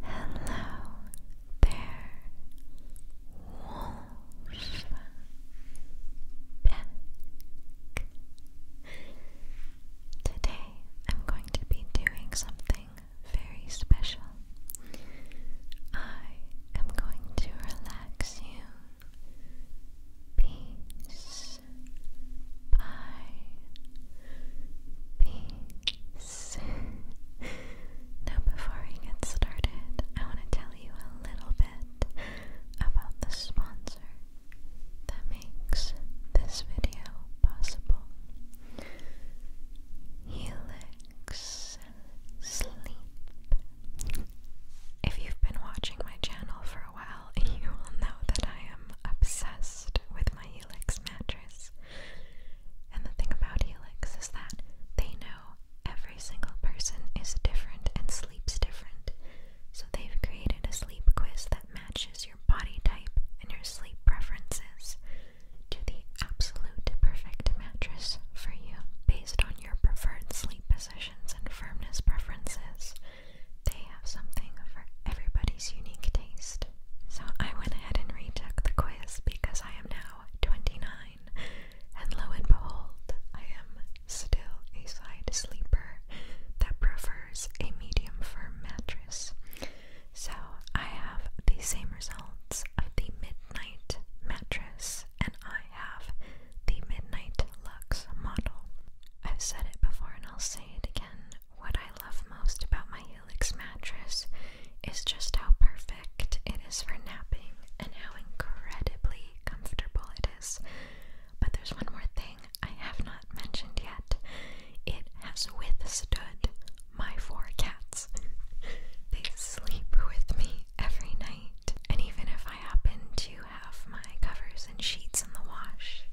Hello there, Wolf Pack. Today I'm going to be doing something very special. I am going to relax you piece by peace. now, before we get started, I want to tell you a little bit about the sponsor that makes this video possible. Helix Sleep. If you've been watching my channel for a while, you will know that I am obsessed with my Helix mattress. And the thing about Helix is that they know every single person is different and sleeps different. So they've created a sleep quiz that matches your body type and your sleep preferences to the absolute perfect mattress for you based on your preferred sleep positions and firmness preferences. They have something for everybody's unique taste. So I went ahead and retook the quiz because I am now 29, and lo and behold, I am still a side sleeper that prefers a medium firm mattress. So I have the same results of the midnight mattress, and I have the midnight luxe model. I've said it before and I'll say it again. What I love most about my Helix mattress is just how perfect it is for napping and how incredibly comfortable it is. But there's one more thing I have not mentioned yet it has withstood my four cats. they sleep with me every night, and even if I happen to have my covers and sheets in the wash,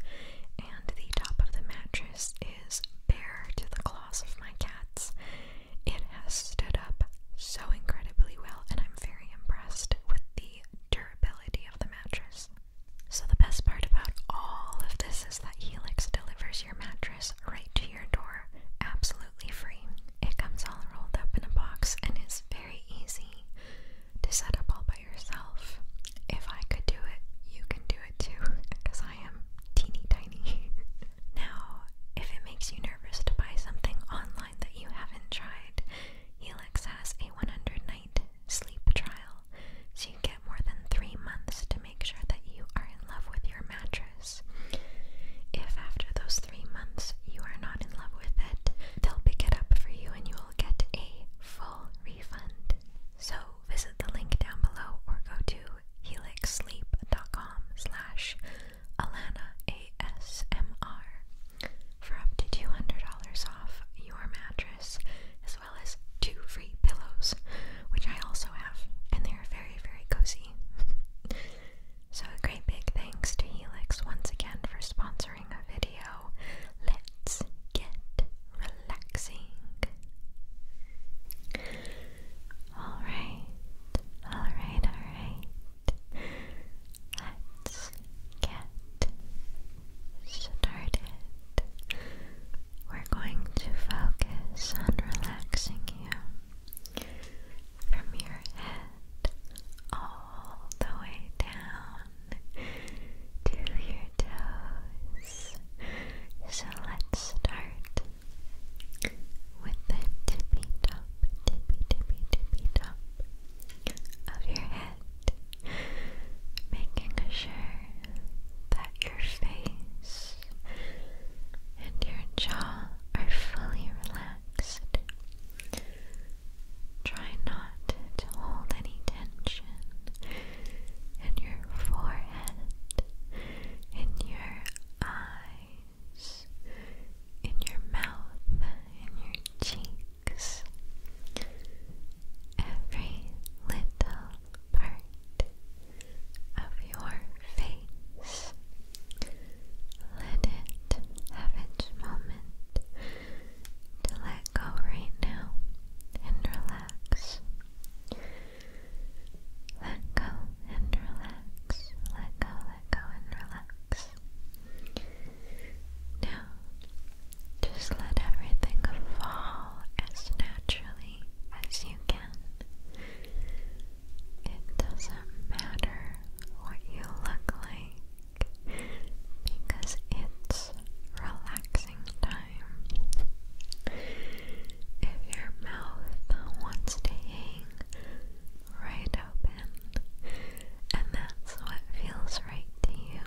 and the top of the mattress is bare to the claws of my cats. It has stood up so incredibly well, and I'm very impressed with the durability of the mattress. So, the best part about all of this is that Helix delivers your mattress right to your door absolutely free. It comes all rolled up in a box and is very easy to set up all by yourself. If I could do it, you can do it too, because I am teeny tiny. now, if it makes you nervous to buy something online that you haven't tried, Helix has a 100 night sleep trial, so you get more than three months to make sure that you are in love with your mattress. If after those three months you are not in love with it, they'll pick it up for you and you will get a full refund. So visit the link down below or go to helixsleep.com slash Alana for up to $200 off your mattress as well as two free pillows, which I also have, and they are very, very cozy. so a great big thanks to Helix once again for sponsoring a video. Let's get relaxing. Alright, alright, alright. Let's get started. We're going to focus on relaxing you from your head all the way down to your toes. So let's start with the tippy top, tippy, tippy, tippy top of your head, making sure that your face and your jaw are fully relaxed. Try not to hold any tension in your forehead, in your eyes, in your mouth, in your cheeks. Every little part of your face. Let it have its moment to let go right now and relax. Let go and relax. Let go, let go, and relax. Now, just let everything fall as naturally as you can. It doesn't matter what you look like because it's relaxing time. If your mouth wants to hang right open, and that's what feels right to you,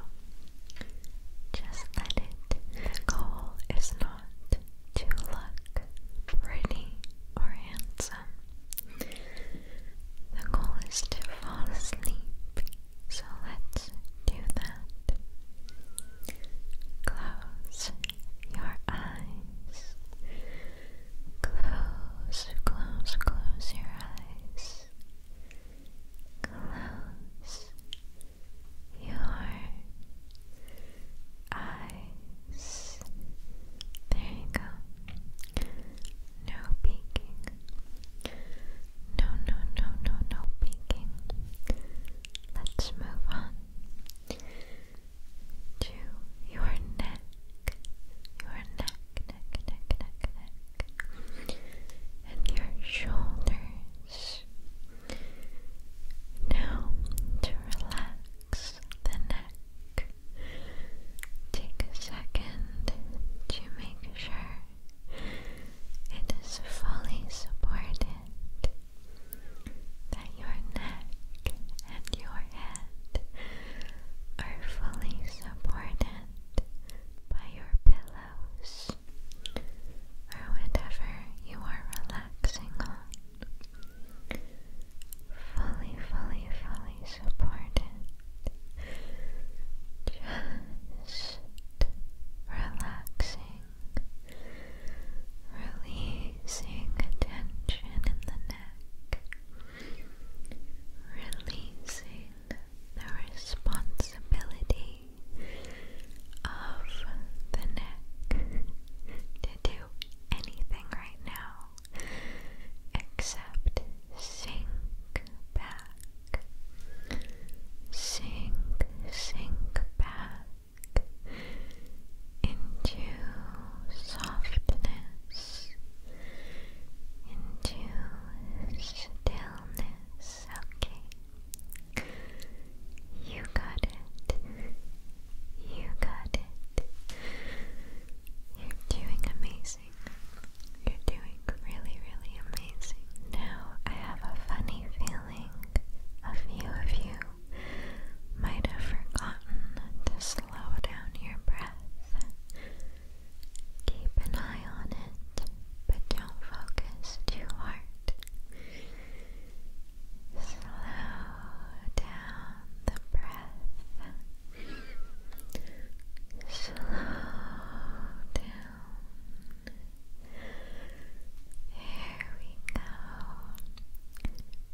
just let it. The goal is not to look pretty or handsome. The goal is to fall asleep so let's do that. Close your eyes. Close, close, close your eyes. Close your eyes. There you go. No peeking. No, no, no, no, no peeking. Let's move on to your neck. Your neck, neck, neck, neck, And your shoulders. Now, to relax the neck, take a second to make sure it is fully supported, that your neck and your head are fully supported by your pillows or whatever you are relaxing on. Fully, fully, fully supported. Just relaxing, releasing tension in the neck, releasing the responsibility of the neck to do anything right now except sink back sink, sink back into softness, into stillness. Okay, you got it, you got it. You're doing amazing. You're doing really, really amazing. Now, I have a funny feeling a few of you might have forgotten to slow down your breath. Keep an eye on it, but don't focus too hard. Slow down the breath. Slow down here we go.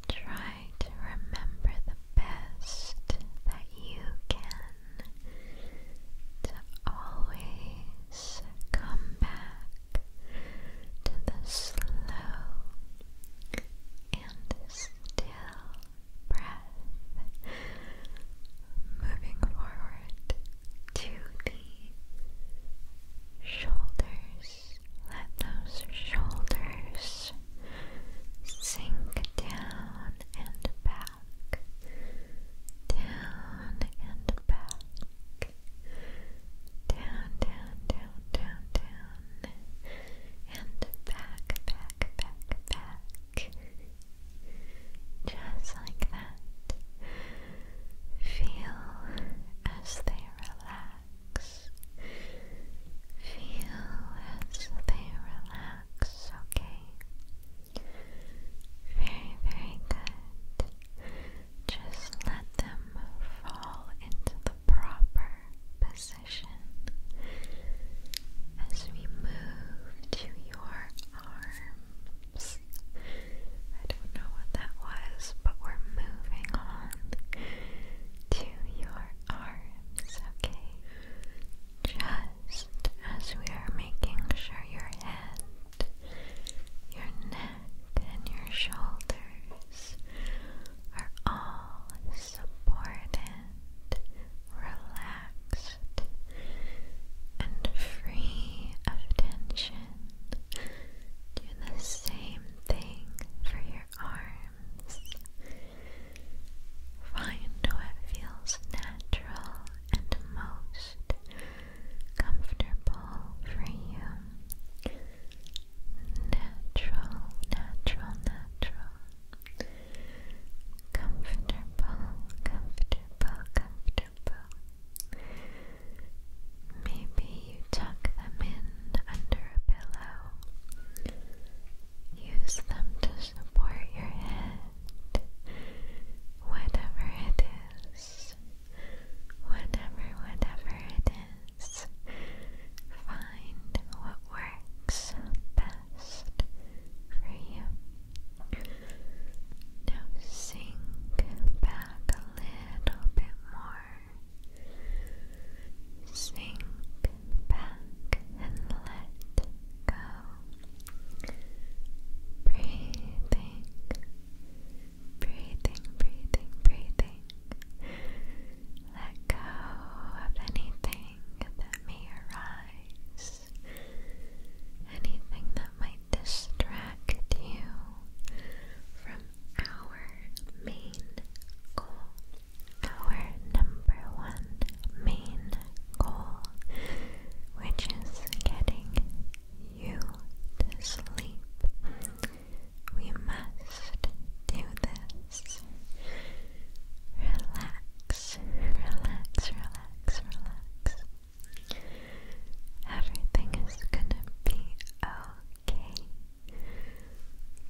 Try to remember the best that you can to always come back to the slow and still breath moving forward to the shoulders. Let those shoulders sink down and back, down and back, down, down, down, down, down, and back, back, back, back. Just like that. Feel as they relax. Feel as they relax, okay? Very, very good. Just let them fall into the proper position as we move to your arm. I don't know what that was, but we're moving on to your arms, okay? Just as we are making sure your head, your neck, and your shoulders are all supported, relaxed and free of tension. Do the same thing for your arms. Find what feels natural and most comfortable for you. Natural, natural, natural. Comfortable, comfortable, comfortable. Maybe you tuck them in under a pillow. Use them to support your head. Whatever it is. Whatever, whatever it is. Find what works best for you. Now sink back a little bit more. Sink back and let go. Breathing, breathing, breathing, breathing. Let go of anything that may arise. Anything that might distract you from our main goal. Our number one main goal, which is getting you to sleep. We must do this. Relax, relax, relax, relax. Everything is gonna be okay.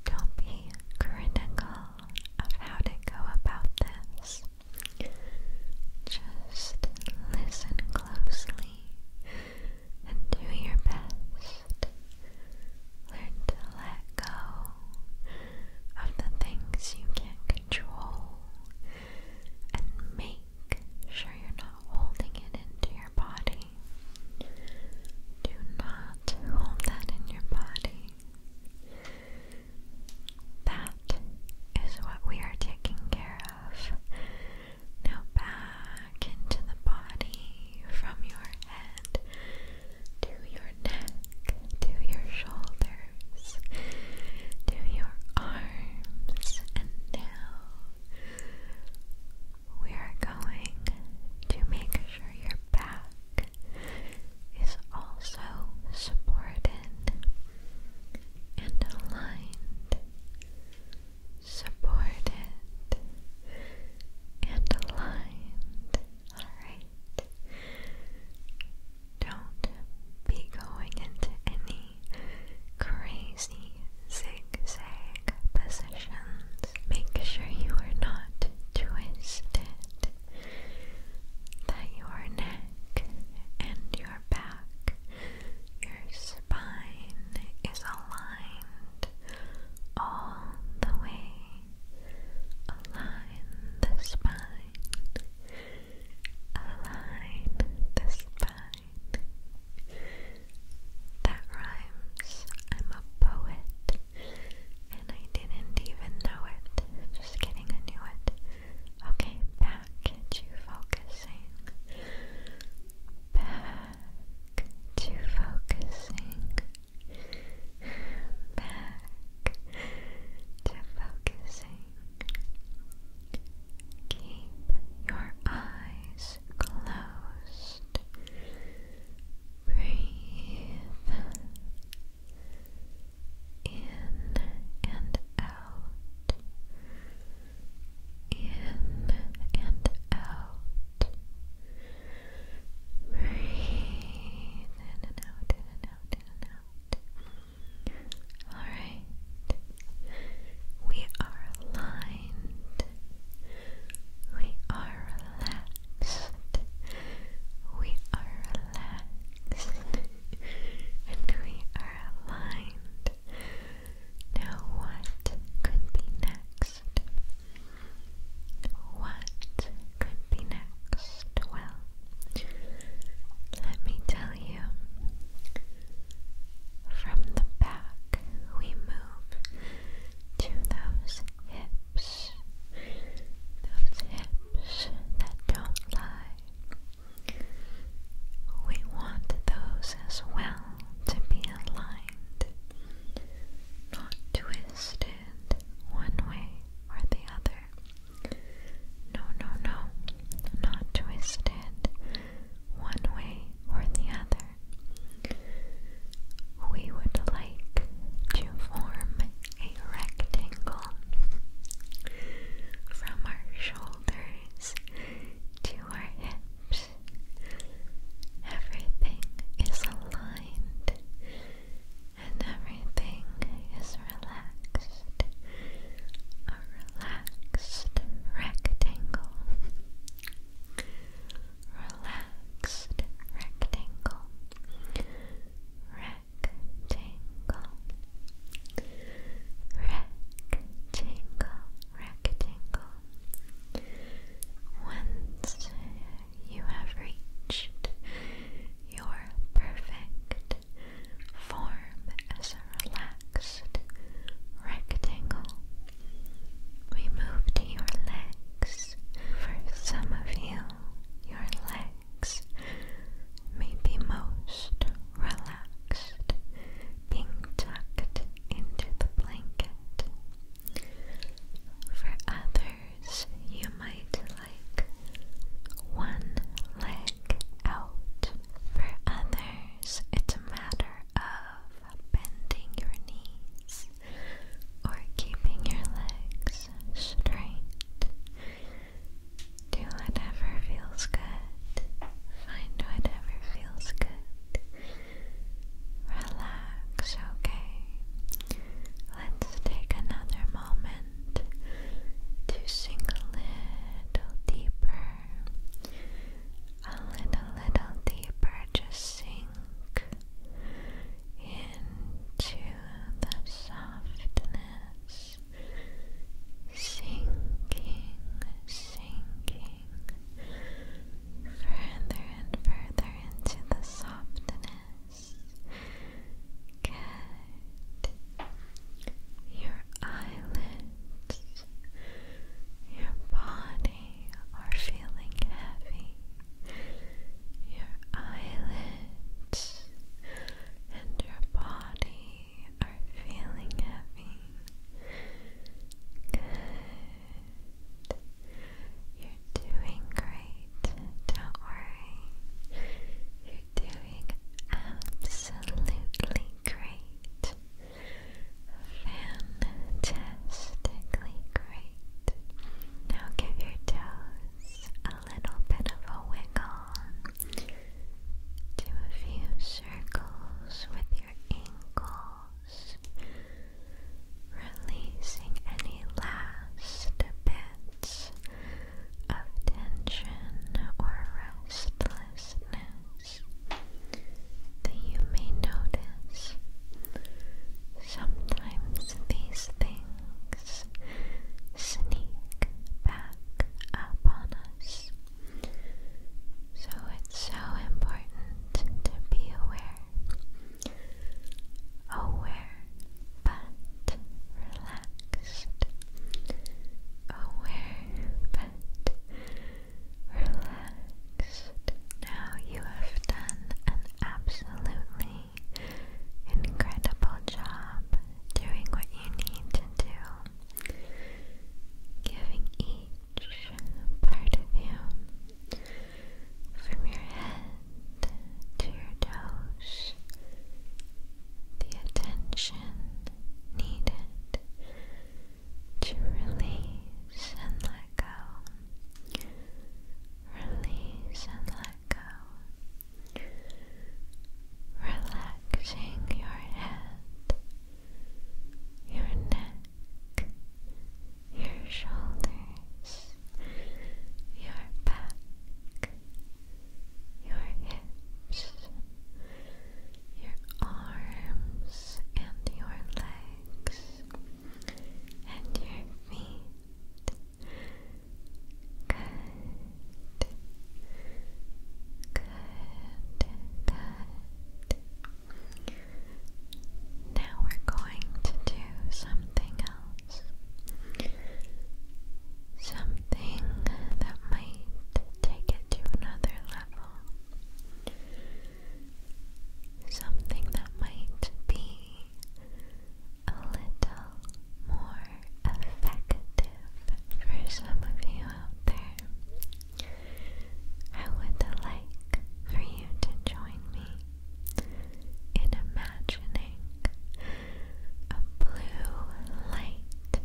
Don't be critical of how to go about this. Just listen closely and do your best. Learn to let go of the things you can't control and make sure you're not holding it into your body. Do not hold that in your body. That is what we are taking care of. Now back into the body from your head to your neck to your shoulders shoulders to your arms, and now we are going to make sure your back is also supported and aligned. Supported and aligned. Alright. Don't be going into any crazy zigzag positions. Make sure you are not twisted, that your neck and your back, your spine is aligned all the way. Align the spine align the spine. That rhymes. I'm a poet, and I didn't even know it. Just kidding, I it. Okay, back to focusing. Back to focusing. Back to focusing. Keep your eyes closed. Breathe in and out. In and out. Breathe in and out, in and out, in and out. Alright, we are aligned, we are relaxed, we are relaxed, and we are aligned. Now, what could be next? What could be next? Well, let me tell you, from the back we move to those hips, those hips that don't lie. We want those as well to be aligned, not twisted one way or the other. No, no, no, not twisted one way or the other. We would like to form a rectangle from our shoulders to our hips. Everything is aligned and everything is relaxed a relaxed rectangle. Relaxed rectangle. Rectangle. Rectangle. Rectangle. Once you have reached your perfect form as a relaxed rectangle. We move to your legs. For some of you, your legs may be most relaxed, being tucked into the blanket. For others, you might like one leg out. For others, it's a matter of bending your knees or keeping your legs straight. Do whatever feels good. Find whatever feels good. Relax, okay? Let's take another moment to sink a little deeper, a little deeper, just sink into the softness, sinking, sinking further and further into the softness. Good. Your eyelids, your body are feeling heavy. Your eyelids and your body are feeling heavy. Good. You're doing great. Don't worry doing absolutely great. Fantastically great. Now give your toes a little bit of a wiggle. Do a few circles with your ankles, releasing any last bit of tension or restlessness that you may notice. Sometimes these things sneak back up us. So it's so important to be aware. Aware, but relaxed, aware, but relaxed. Now you have done an absolutely incredible job doing what you need to giving each part of you, from your head to your toes, the attention needed to release and let go. Release and let go. Relaxing your head, your neck, your shoulders, your back, your hips, your arms, and your legs, and your feet. Good, good, good. Now we're going to do something else something that might take it to another level, something that might be a little more effective for some of you out there. I would like for you to join me in imagining a blue light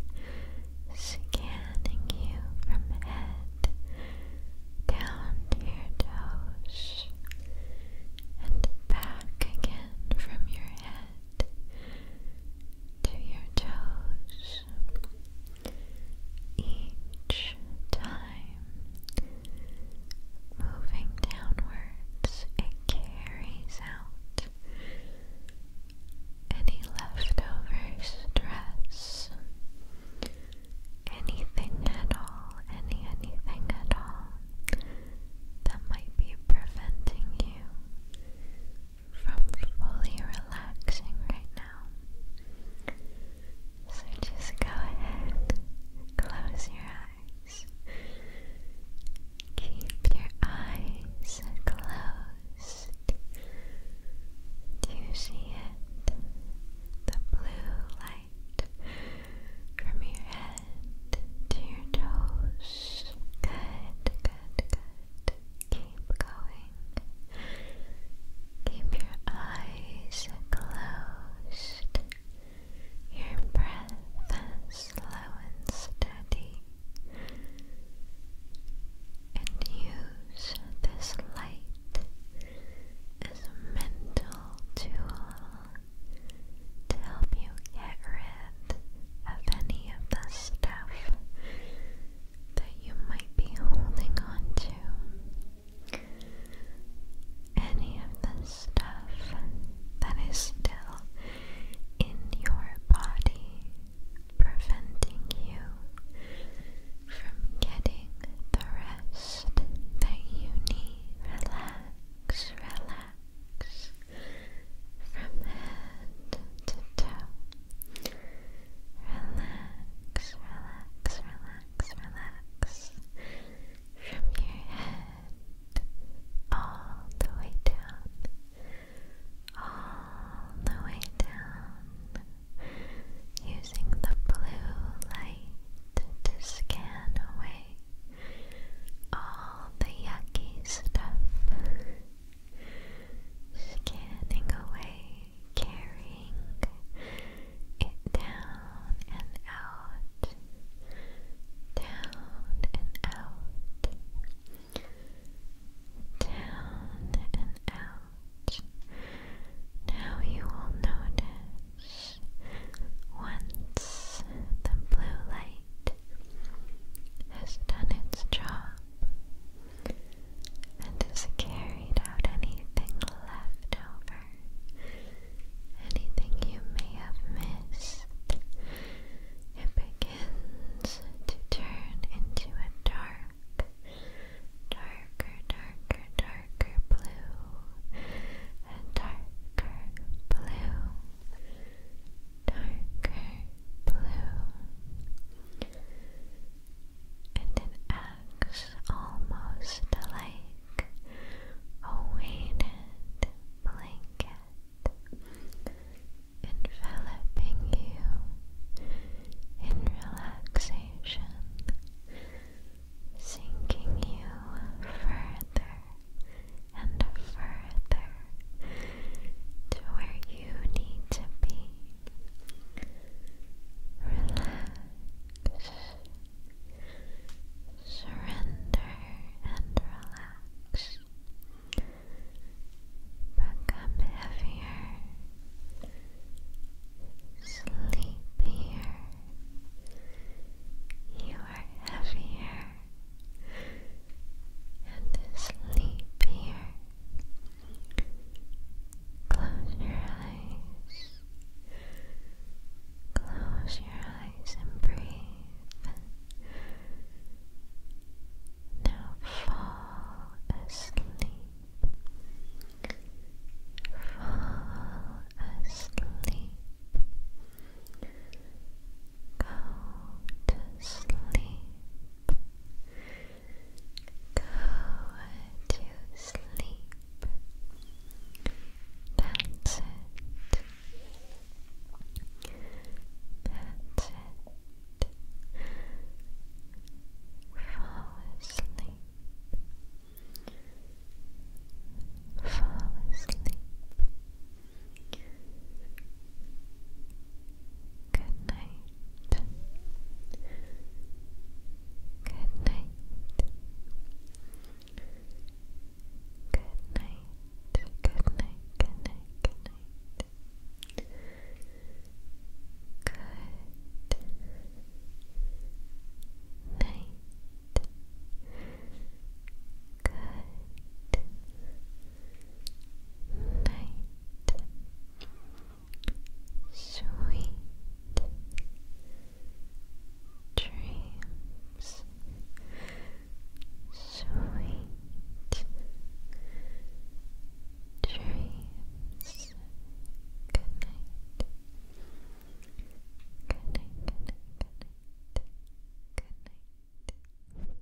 scanning you from head down to your toes and back again from your head to your toes. Each time moving downwards, it carries out any leftover stress, anything at all, any anything at all that might be preventing you from fully relaxing right now. So just go ahead, close your eyes. Keep your eyes closed. Do you see it? The blue light from your head to your toes. Good, good, good. Keep going. Keep your eyes closed. Your breath slow and steady and use this light as a mental tool to help you get rid of any of the stuff that you might be holding on Any of the stuff that is still in your body, preventing you from getting the rest that you need. Relax, relax from head to toe. Relax, relax, relax, relax from your head all the way down all the way down using the blue light to scan away all the yucky stuff. Scanning away, carrying it down and out, down and out, down and out. Now you will notice once the blue light has done its job and has carried out anything left over, anything you may have missed it begins to turn into a dark, darker, darker, darker blue, a darker blue, darker blue, and it acts almost like a weighted blanket enveloping you in relaxation, sinking you further and further to where you need to be. Relax, surrender, and relax back heavier, sleepier. You are heavier and sleepier. Close your eyes. Close your eyes and breathe. Now fall asleep. Fall asleep. Go to sleep. Go to sleep. That's that's it. Fall asleep. Fall asleep. Good night. Good night. Good night. Good night. Good night. Good night. Good night. Good night. Sweet dreams sweet dreams. Good night. Good night. Good night. Good night. Good night.